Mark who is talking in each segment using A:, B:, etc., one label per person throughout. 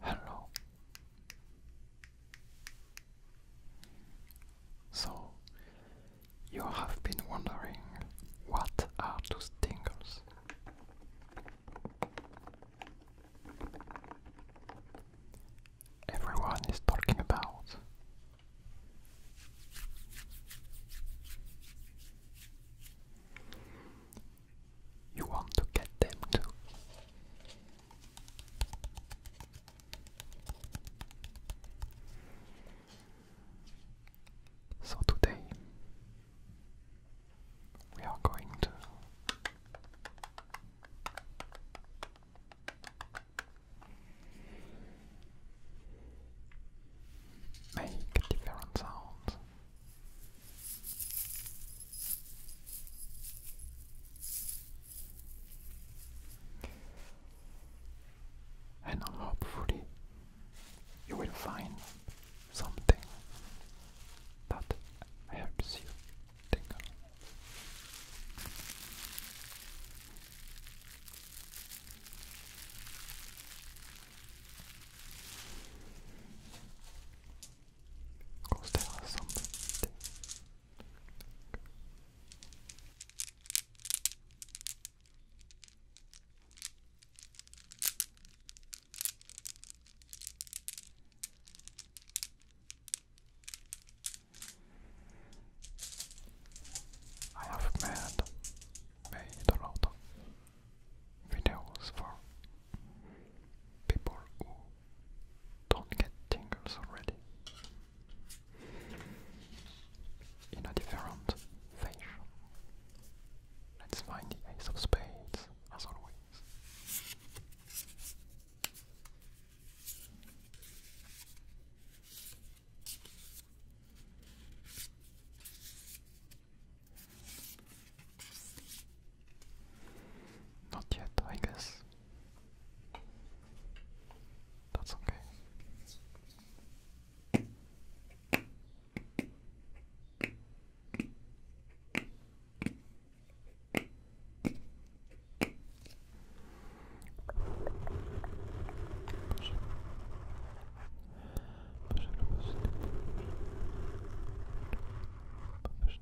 A: Hello. So, you have been wondering what are those tingles? Everyone is talking about. You want to get them too. So today we are going to make different sounds and hopefully you will find something that helps you of course, there are I have made, made a videos for people who don't get tingles already in a different fashion. Let's find the Ace of Spades, as always. Not yet, I guess. That's okay. Push push it,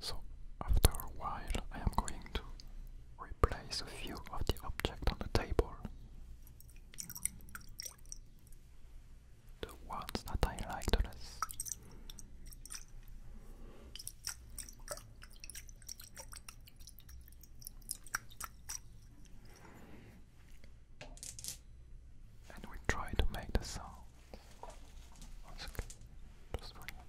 A: So, after a while, I am going to replace a few of the objects on the table. The ones that I liked less. And we try to make the sound. One second, just for you.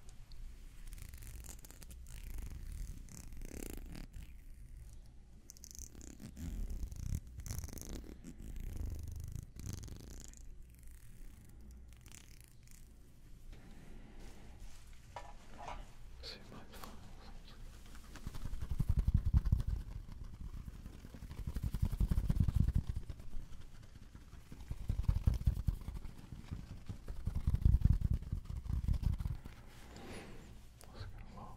A: See my files. Let's get lost.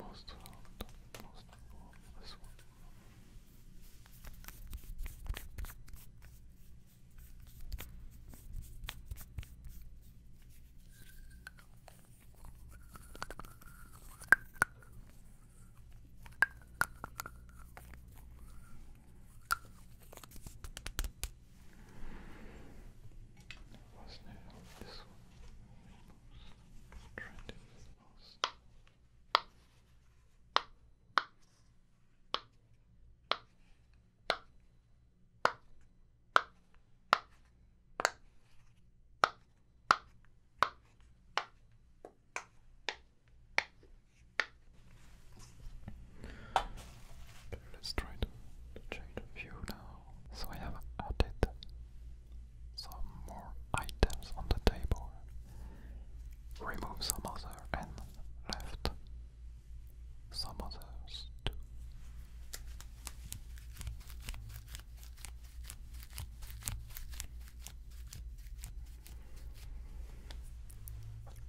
A: Almost, almost, almost this one. Wasn't it on this one? Trending the most. Let's try to, change the view now. So I have added some more items on the table, remove some other and left some others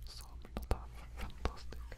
A: Some not fantastic.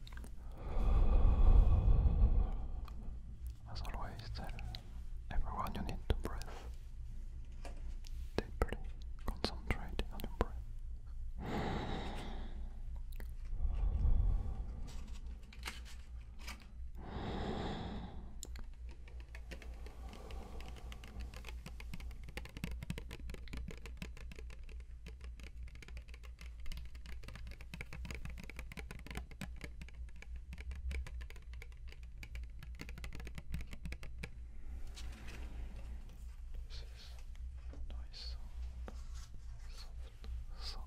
A: As always, tell everyone you need to breathe deeply, concentrate on your breath. This is a nice sound, soft sound.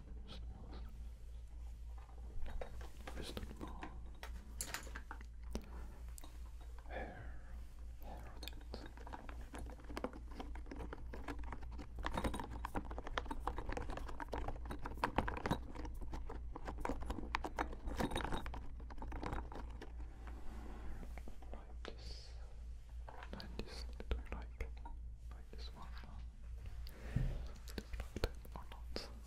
A: Istanbul. Hair. Hair Like this. Like this. Do you like? Like this one? Huh? like that or not?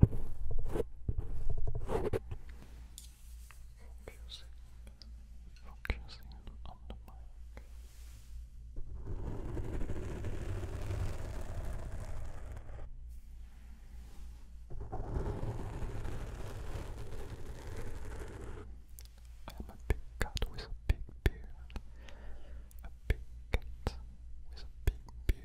A: Focusing, focusing on the mic. I'm a big cat with a big beard. A big cat with a big beard.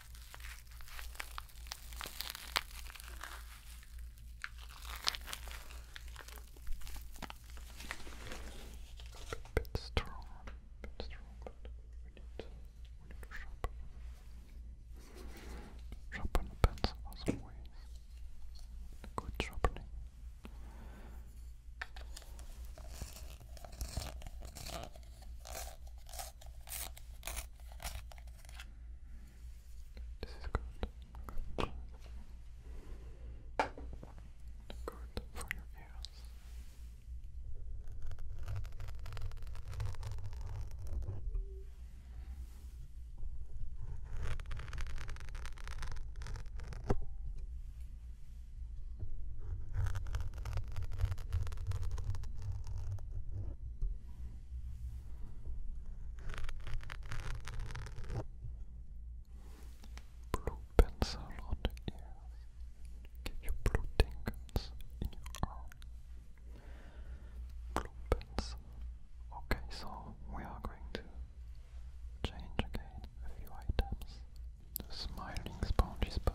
A: bit strong, bit strong, we need, we need to sharpen. Sharpen the some ways. Good sharpening. This is good. Good, for your ears. Blue pencil on the ears. Get your blue tingles in your arm. Blue pencil. Okay, so we are going to change again a few items. The smiling sponge is but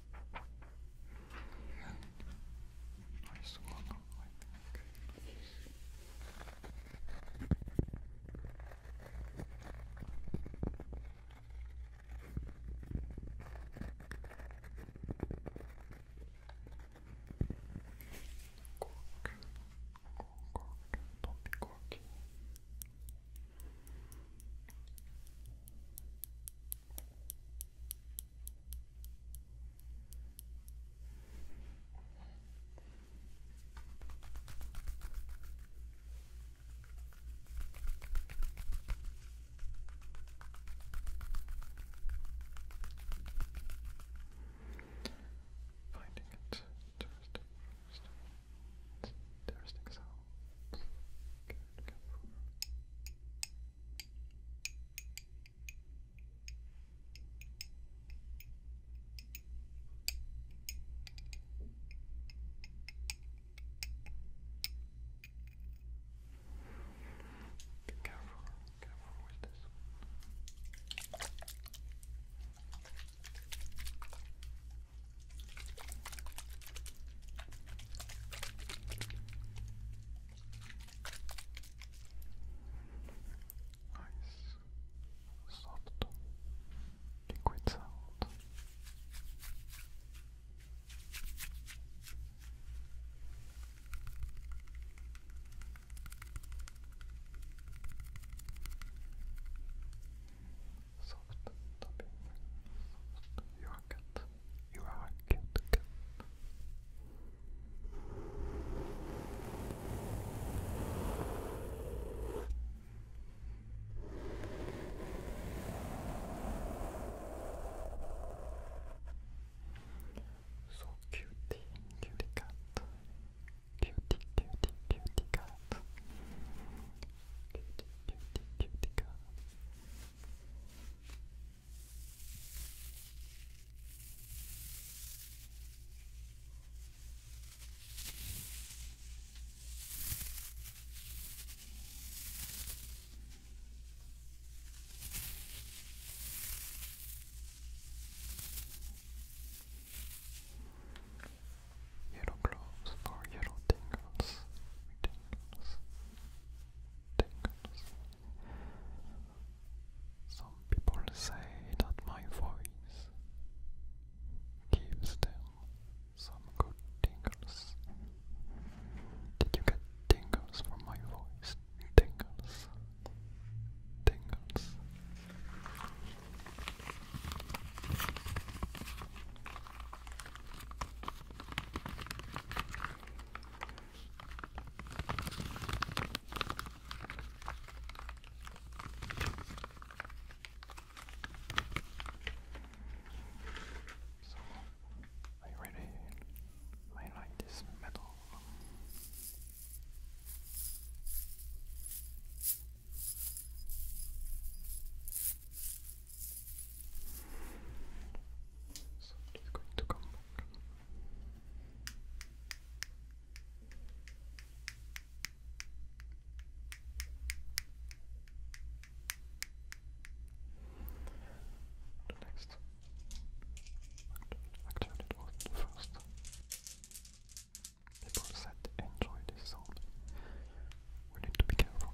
A: Nice one, Cork, cork, cork, don't be corky. Finding it just, just, just, interesting sounds can come Be careful, careful with this. Nice, soft, liquid sound. Soft tapping, soft yogurt. You are a cute cat. So cutie, cutie cat. Cutie, cutie, cutie cat. Cutie, cutie, cutie cat. Yellow gloves or yellow tingles tingles. Some people say that my voice gives them some good tingles. Did you get tingles from my voice? Tingles. Tingles. So you really I like this metal. So he's going to come next. Actually, the first. People said enjoy this sound. We need to be careful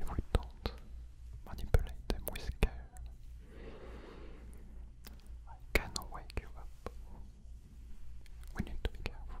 A: if we don't manipulate them with care. I cannot wake you up. We need to be careful.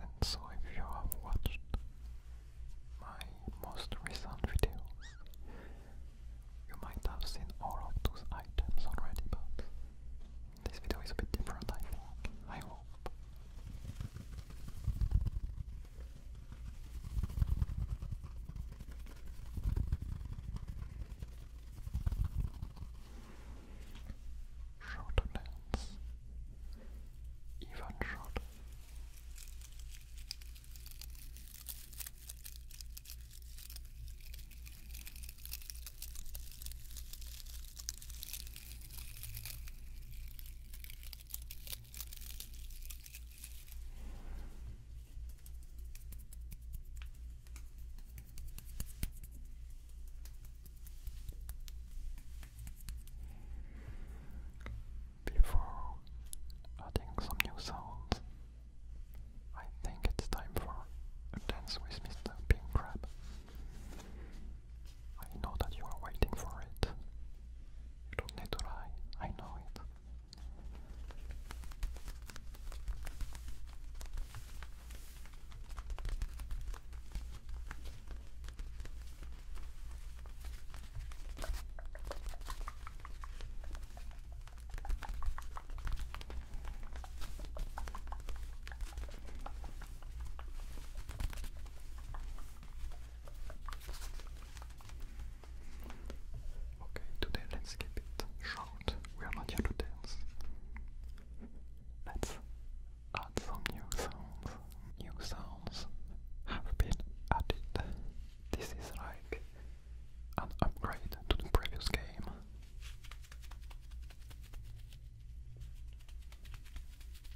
A: And so if you have watched my most recent videos, you might have seen all of those items already, but this video is a bit different I hope. Shorter lens, even shorter. Before adding some new sounds, I think it's time for a dance with Mr. Pink Crab. I know that you are waiting for it, don't need to lie, I know it. Okay, today let's keep it short. We are not here to dance. Let's add some new sounds. New sounds have been added. This is like an upgrade to the previous game.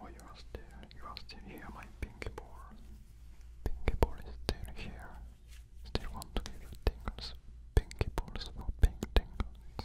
A: Oh, you still, you are still here, my pinky ball. Pinky ball is still here. Still want to give you tingles. Pinky balls for pink tingles.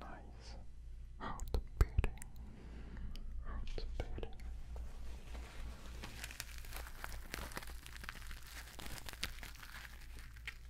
A: Nice. Heart beating. Heart beating.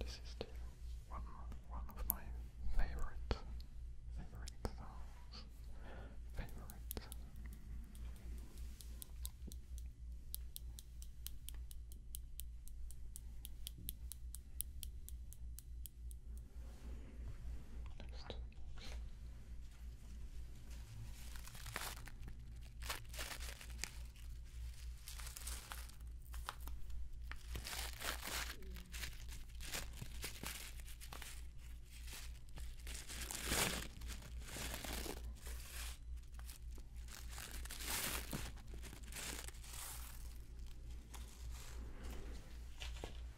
A: This is one one of my favorite favorite songs. Favorite.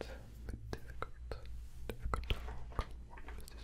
A: It's a bit difficult, difficult to walk,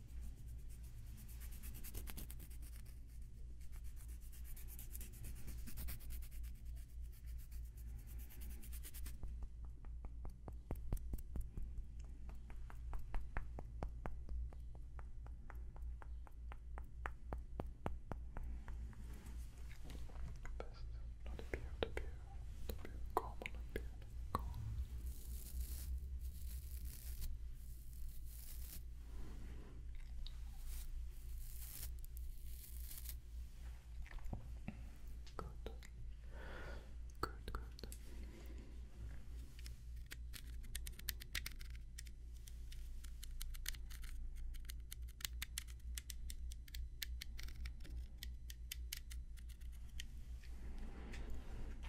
A: Best not appear to appear to be common appear and calm. Good. Good, good.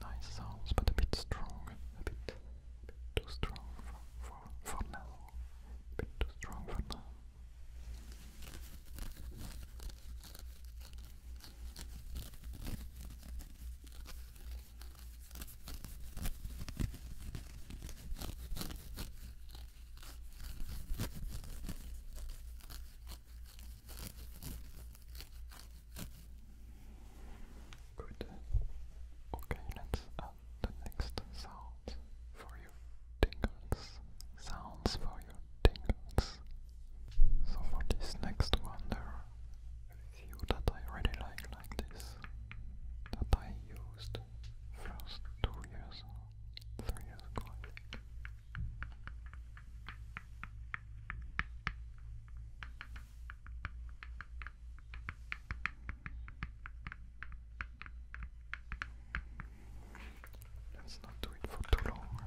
A: Nice sounds, but a bit strong, a bit, bit too strong for, for, for now. bit too strong for now. Good. Okay, let's the next sound for your tingles. Sounds for your tingles. So for this next one, there a few that I really like, like this, that I used first two years, three years ago, Let's not do it for too long.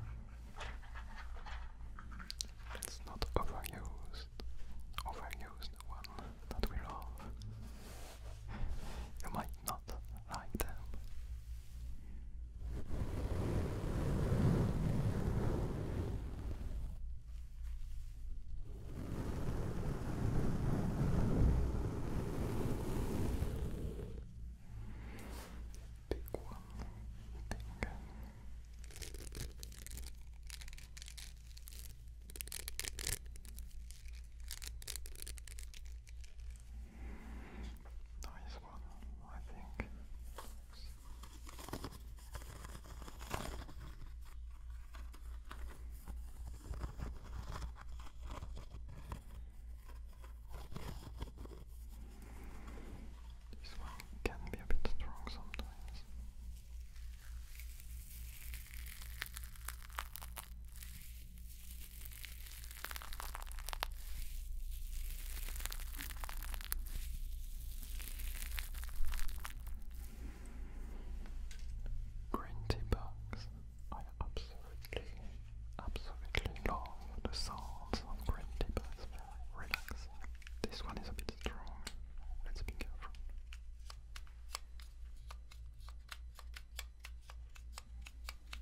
A: Let's not overuse, overuse the one that we love. Am I not like them. Big one, big. Nice one, I think. This one can be a bit strong sometimes. Green tea I absolutely, absolutely love the sounds of green tea bags. This one is a bit strong. Let's be careful.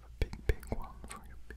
A: Have a big, big one for your pig.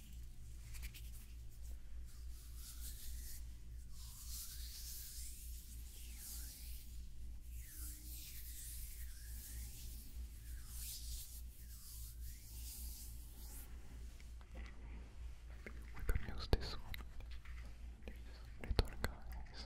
A: We could use this one. These little guys.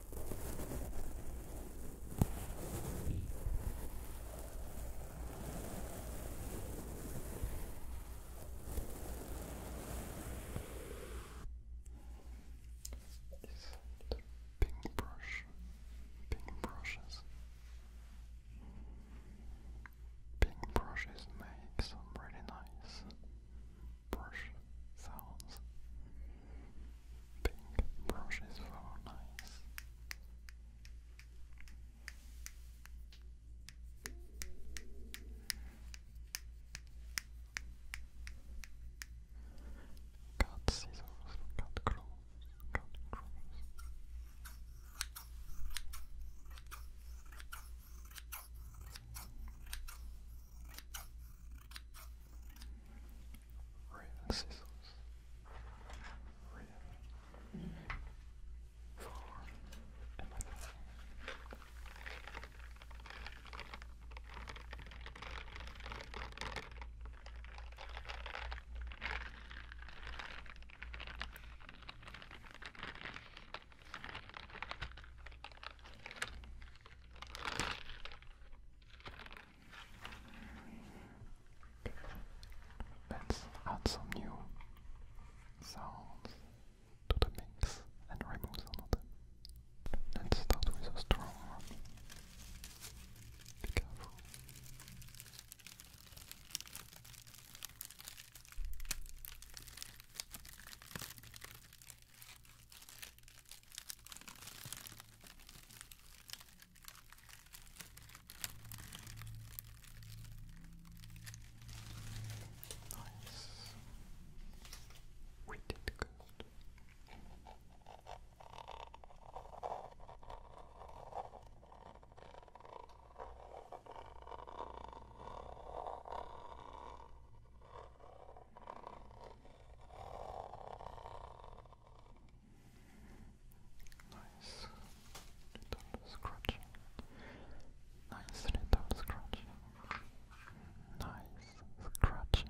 A: Is the pink brush, pink brushes, pink brushes make some really nice brush sounds pink brush is very Cut scissors, cut clothes, cut clothes. Rin scissors. Rin. Forearm. Let's add some new sounds to the mix and remove some of them. Let's start with a strong one. Be careful. Nice. We did good. Nice little scratching. Nice little scratching. Nice scratching.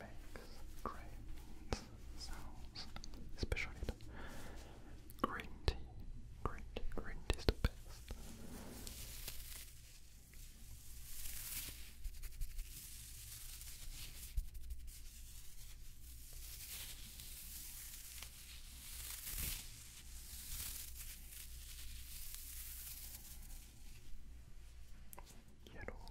A: makes great sounds, especially green tea. Green tea, green tea is the best. Yellow,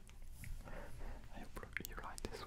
A: I hope you like this one.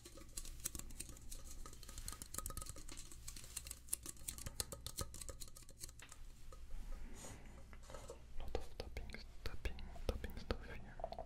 A: Lot of tapping, tapping, tapping stuff here. All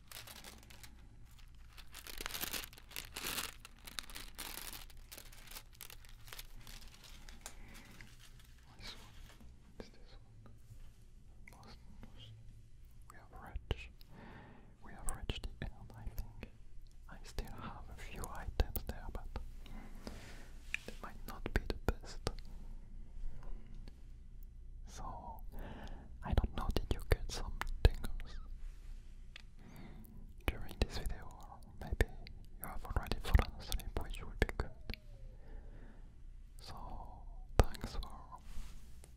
A: This one this one. Most, most. We have reached. We have reached the end, I think. I still have a few items there, but it might not be the best. So, I don't know, did you get some tingles during this video? Or maybe you have already fallen asleep, which would be good. So, thanks for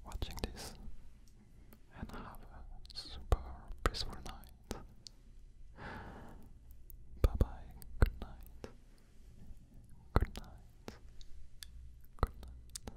A: watching this and have a super peaceful night. Bye bye, good night. Good night. Good night.